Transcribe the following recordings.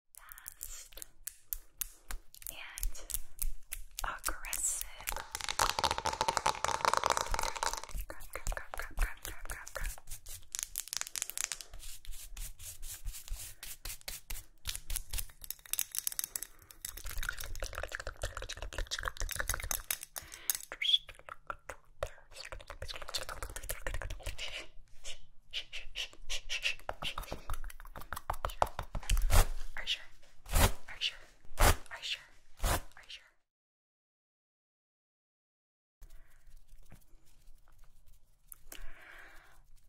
fast and aggressive. Are you sure? Are you sure? Are you sure? Are you sure?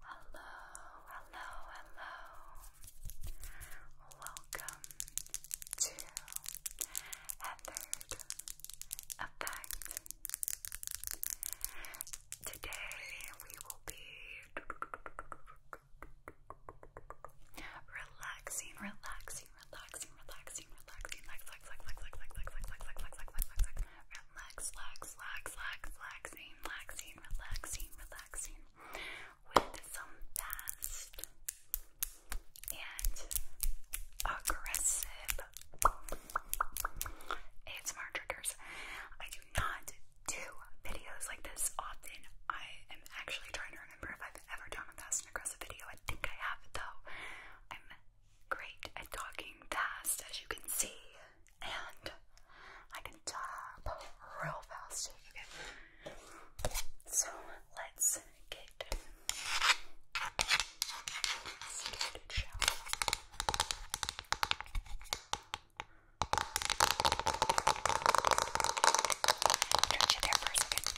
Hello, hello, hello. Welcome to Heathered Effect. Today we will be relaxing, relaxing, relaxing, relaxing, relaxing, relax, relax, relax, relax, relax, relax, relax, relax, relax, relax, relax, relax, relax, relaxing, relaxing, relaxing, relaxing, with some fast and aggressive ASMR triggers. I do not do videos like this often. I am actually trying to remember if I've ever done a fast and aggressive video. I think I have, though. I'm great at talking fast, as you can see, and I can talk real fast. Okay. So let's get started, shall Touch it there for a second.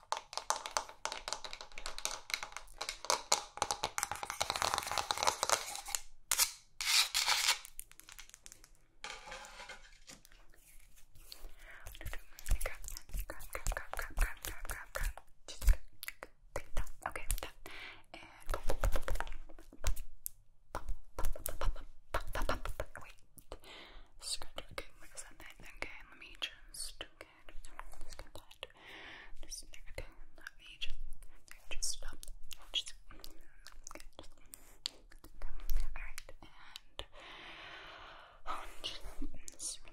Okay, done. And wait. Scratch. Okay, what is that? Okay, let me just. Okay good. let okay. Let me just, just stop. Just good. All right, and oh, just swing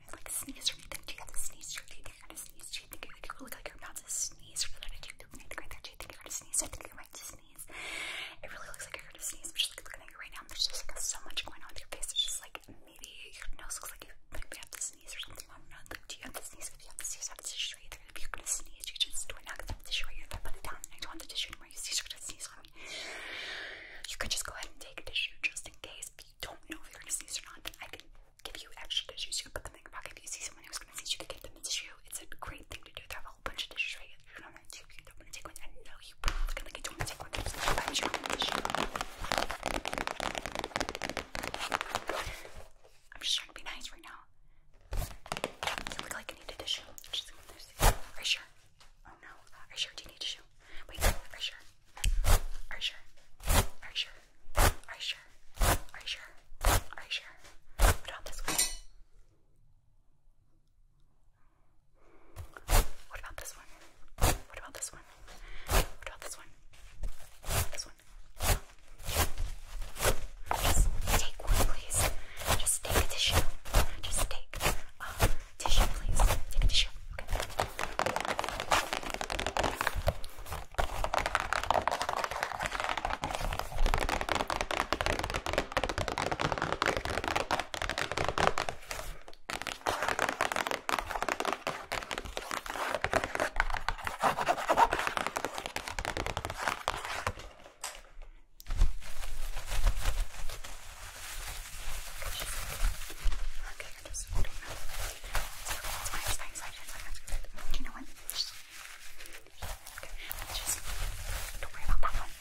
like sneeze or anything? Do you have to sneeze? Do you think you're gonna sneeze? Do you think you're, you look like you're about to sneeze? do you think you're gonna sneeze? I think you might sneeze. It really looks like you're gonna sneeze. just like looking at you right now. There's just like so much going on with your face. It's just like maybe your nose looks like you might have to sneeze or something. I don't know. do you have to sneeze? If you have to sneeze, have to tissue right there. If you're to sneeze, you just do it now because I tissue right here. If I put it down I don't want the tissue anymore, you see, you're gonna sneeze on me. You could just go ahead and take a tissue just in case you don't know if you're gonna sneeze or not, then I can give you extra tissues. You can put them in your pocket. If you see someone who's gonna see, you can give them a tissue. It's a great thing to do. They have a whole bunch of tissues right here. You are not going to you don't want to take one. I know you are like you don't want to take one. I'm just trying to be nice right now. You look like you need a tissue. Just, are you sure? Oh no. Are you sure? Do you need to show? Wait, are you sure? Are you sure? Are you sure? Are you sure? Are you sure? Are you sure? Put on this one. What about this one? What about this one? What about this one? This one. take one, please. Just take a tissue. Just take. Um, Tissue, please. Take a tissue. Okay. Okay, I just don't know. That's my exciting side. You know what? Just, okay, let's just don't worry about that one. Okay.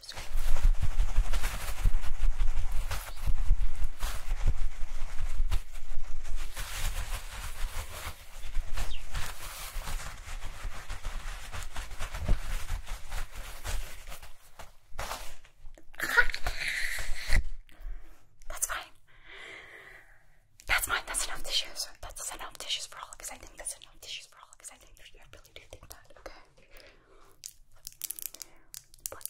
So. That's fine. That's fine. That's enough tissues. That's enough tissues for all of us. I think that's enough tissues for all of us. I think I really do think that. Okay. But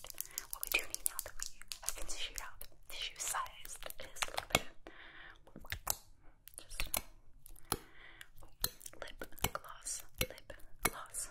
what we do need now that we have been shoot out, the shoe size is lip gloss, lip gloss.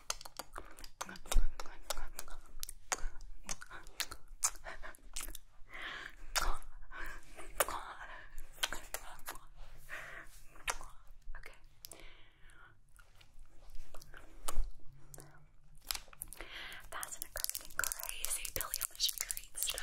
Okay. That's an accustomed crazy Billy on the street style.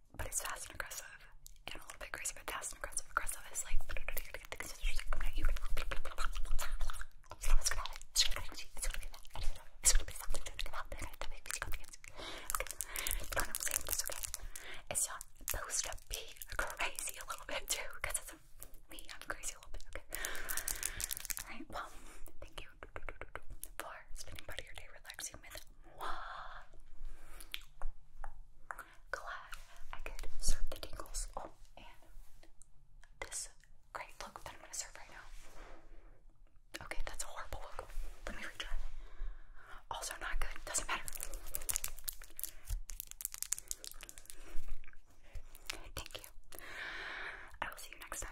but it's fast and aggressive, and a little bit crazy, but fast and aggressive. Aggressive is like it's not supposed to be crazy a little bit too, because it's me, I'm crazy a little bit, okay? Alright, well, thank for spending part of your day relaxing with moi. Glad I could serve the tingles. Oh, and this great look that I'm gonna serve right now. Okay, that's a horrible look. Let me retry. Also not good. Doesn't matter. Thank you. I will see you next time.